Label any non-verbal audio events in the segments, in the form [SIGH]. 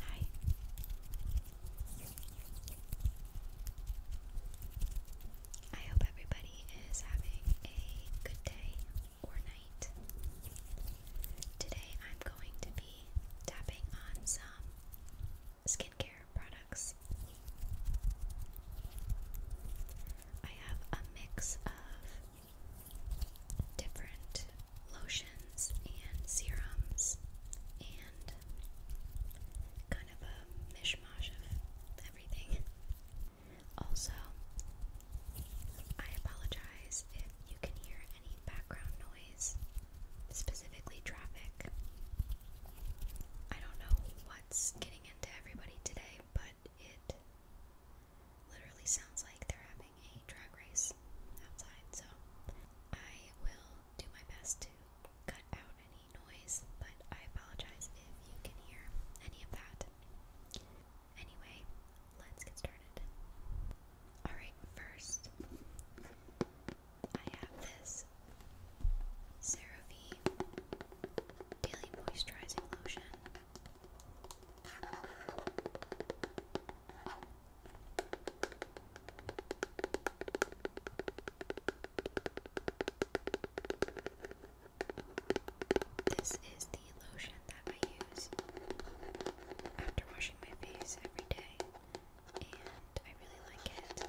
Hi. I hope everybody is having a good day or night. Today I'm going to be tapping on some skincare products. I have a mix of different lotions and serums and kind of a mishmash of everything. Also, I apologize if you can hear any background noise, specifically traffic. I don't know what's getting into everybody today, but it literally sounds like they're having a drag race outside, so I will do my best to cut out any noise, but I apologize if you can hear any of that. Anyway, let's get started. Alright, first, I have this CeraVe Daily Moisturizing Lotion. This is the lotion that I use after washing my face every day, and I really like it.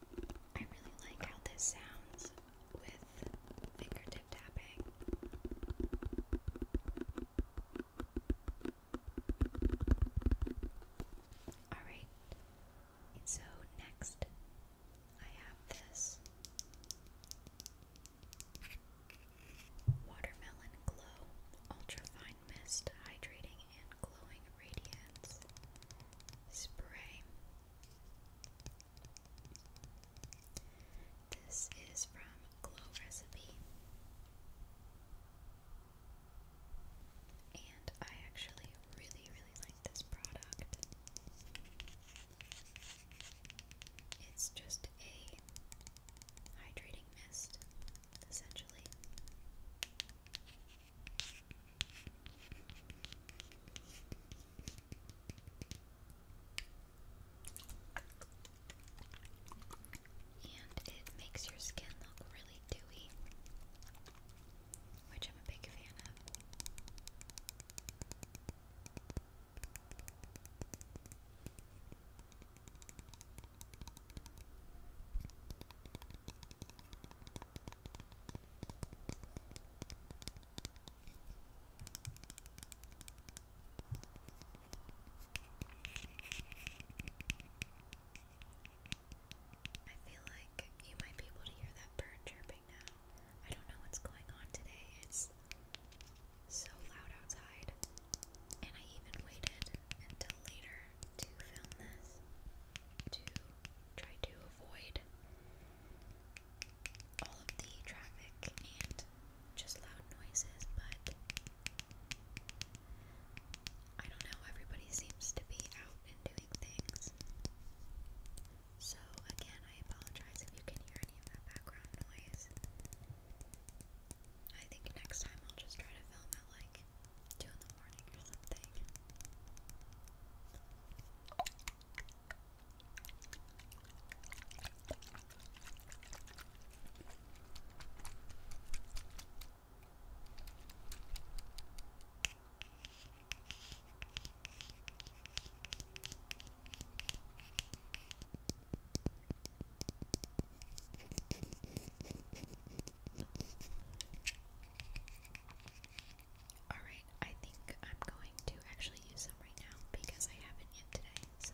I really like how this sounds with fingertip tapping. Alright, so next I have this Watermelon Glow Ultra Fine Mist Hydrating glowing radiance spray. This is from Glow Recipe. And I actually really, really like this product. It's just a hydrating mist, essentially. And it makes your skin look really dewy, which I'm a big fan of. I feel like you might be able to hear that bird chirping now. I don't know what's going on today. It's so loud outside. And I even waited until later to film this to try to avoid all of the traffic and just loud noises, but I don't know, everybody seems to be out and doing things. So, again, I apologize if you can hear any of that background noise. I think next time I'll just try to film at like like 2 in the morning or something. Alright, I think I'm going to actually use them right now because I haven't yet today, so.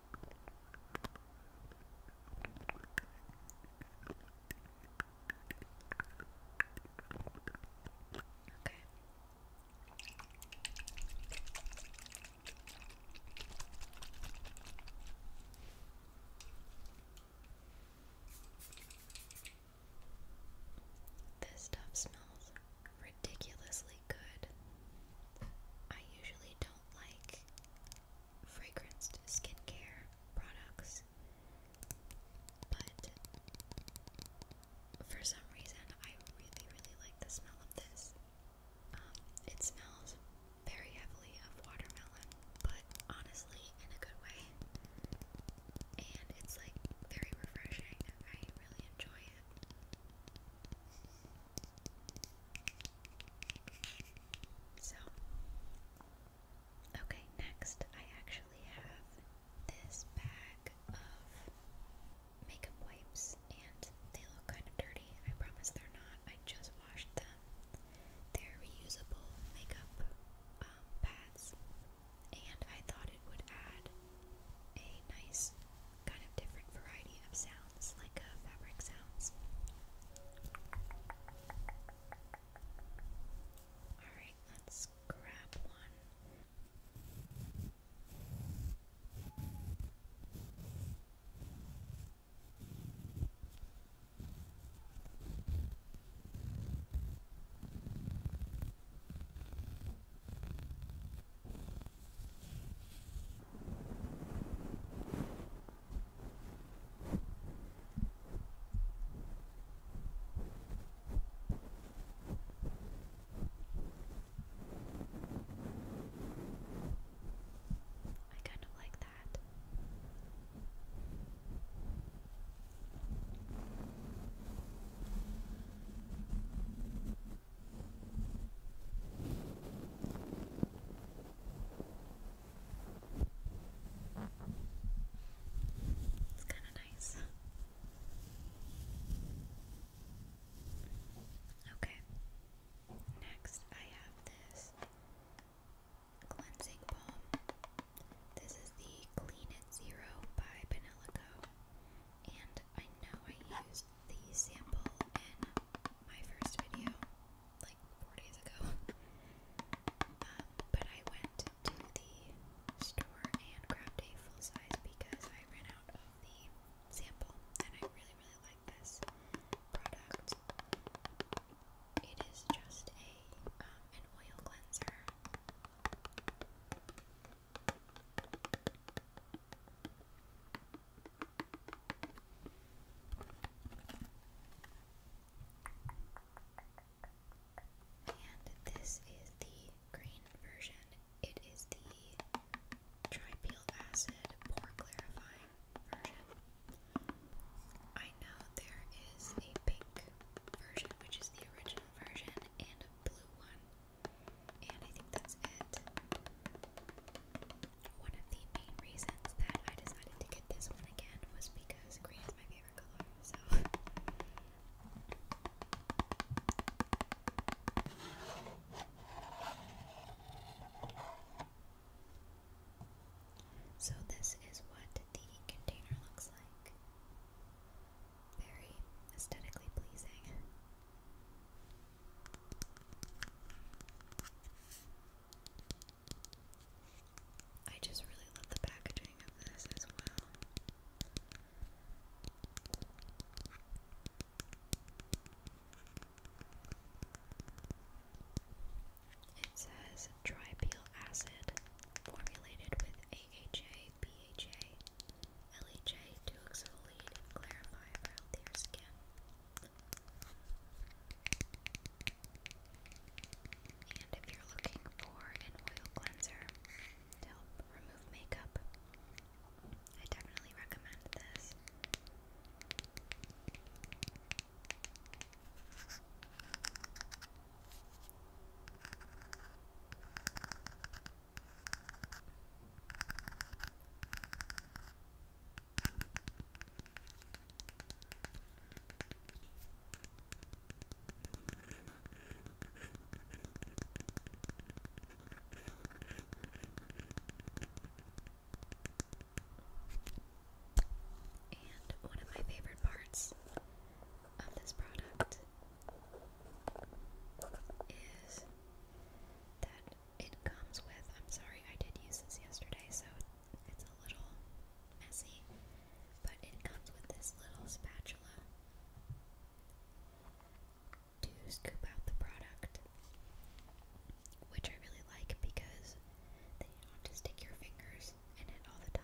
Okay. This stuff smells ridiculously good. I usually don't like fragranced skincare products, but for some reason, I really, really like the smell of this. Um, it smells very heavily of watermelon, but honestly, in a good way. And it's like very refreshing. I really enjoy it. So, okay, next I actually have this bag of makeup wipes, and they look kind of dirty. I promise they're not. I just washed them. They're reusable makeup um, pads, and I thought it would add a nice kind of different variety of sounds, like uh, fabric sounds. Alright, let's grab one. I kind of like that. It's kind of nice. Okay. Next, I have this cleansing balm. This is the Clean It Zero by Peneloco. And I know I used the sample in my first video like four days ago. [LAUGHS] Um, but I went to the store and grabbed a full size because I ran out of the sample and I really, really like this product. It is just a um, an oil cleanser. And this is the green version. It is the tripealed acid pore clarifying version. I know there is a pink version, which is the original version, and a blue one. And I think that's it. One of the main reasons that I decided to get this one again was because green is my favorite color, so. So, this is what the container looks like. Very aesthetically pleasing. I just really love the packaging of this as well. It says tripial acid formulated with AHA, BHA, LEJ to exfoliate and clarify for healthier skin. And if you're looking for an oil cleanser to help remove makeup, I definitely recommend this. And one of my favorite parts of this product is that it comes with, I'm sorry, I did use this yesterday, so it's a little messy, but it comes with this little spatula to scoop out the product, which I really like because then you don't have to stick your fingers in it all the time.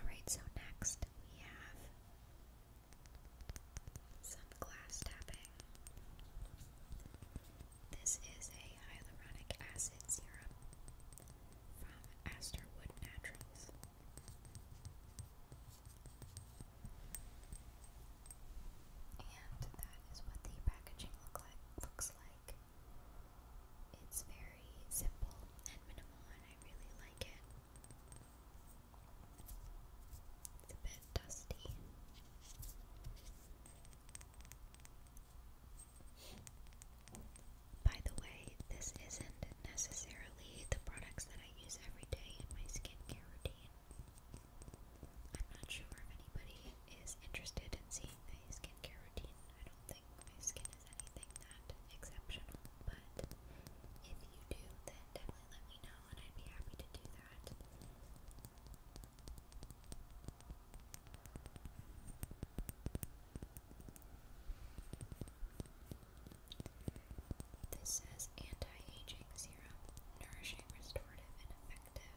Alright, so next we have some glass tapping. This is a hyaluronic acid serum from Asterwood Naturals. And that is what the packaging look like looks like. It's very simple and minimal, and I really like it. It's a bit dusty. By the way, this isn't necessarily the products that I use every day in my skincare routine. I'm not sure if anybody is interested in seeing my skincare routine I don't think my skin is anything that exceptional, but if you do, then definitely let me know and I'd be happy to do that. This says anti-aging serum, nourishing, restorative, and effective.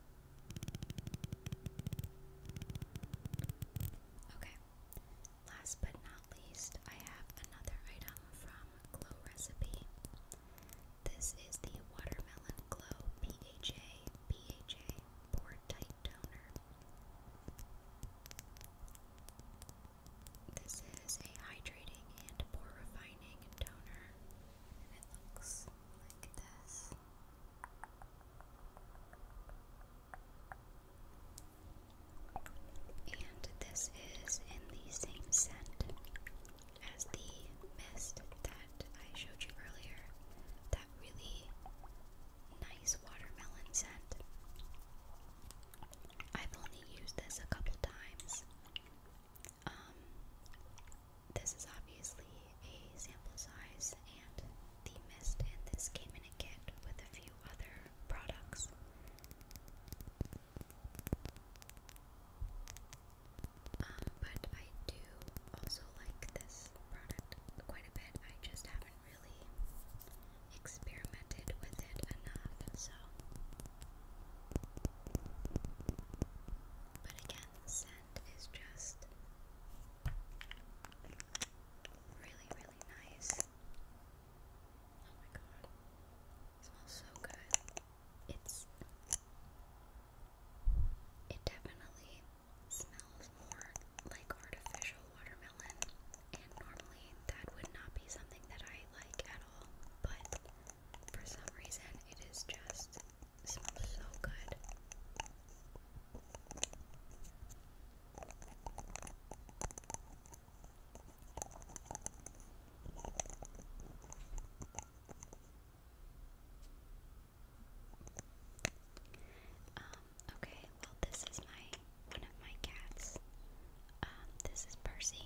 Okay, last but not least, I have another item from Glow Recipe. This is the Watermelon Glow PHA PHA Pore Tight Toner. This is a hydrating and pore refining toner, and it looks and this is in the same scent as the mist that I showed you earlier. That really nice watermelon scent. I've only used this a couple times um, this is obviously a sample size, and the mist in this came in a kit with a few other products. Um, but I do also like this product quite a bit. I just haven't really experimented with it enough, so. But again, scent is just really, really nice. Oh my god. smells so good. It's it definitely smells more like artificial watermelon and normally that would not be something that I like at all, but for some reason it is just it smells so good. Um, okay, well this is my one of my cats. Um, this is Percy.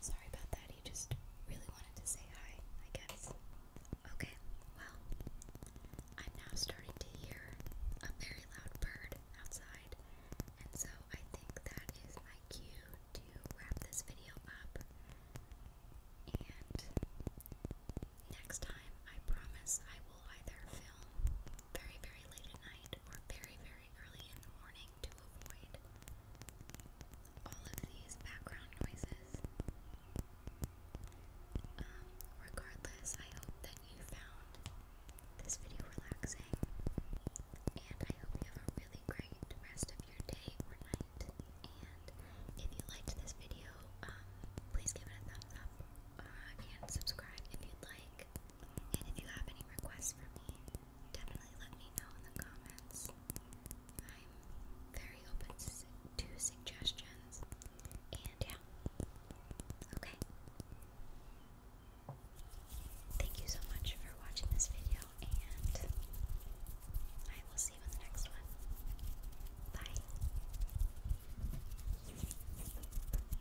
Sorry about that, he just really wanted to say hi, I guess. Okay, well, I'm now starting to hear a very loud bird outside, and so I think that is my cue to wrap this video up. And next time, I promise I will either film very, very late at night or very, very early in the morning to avoid all of these background noises. Um, regardless, I hope that you found this video relaxing, and I hope you have a really great rest of your day or night. And if you liked this video, um, please give it a thumbs up uh, and subscribe if you'd like. And if you have any requests for me, definitely let me know in the comments. I'm very open to suggestions. And yeah. Okay. Thank you so much for watching this video, and I will see you in the next one. Bye.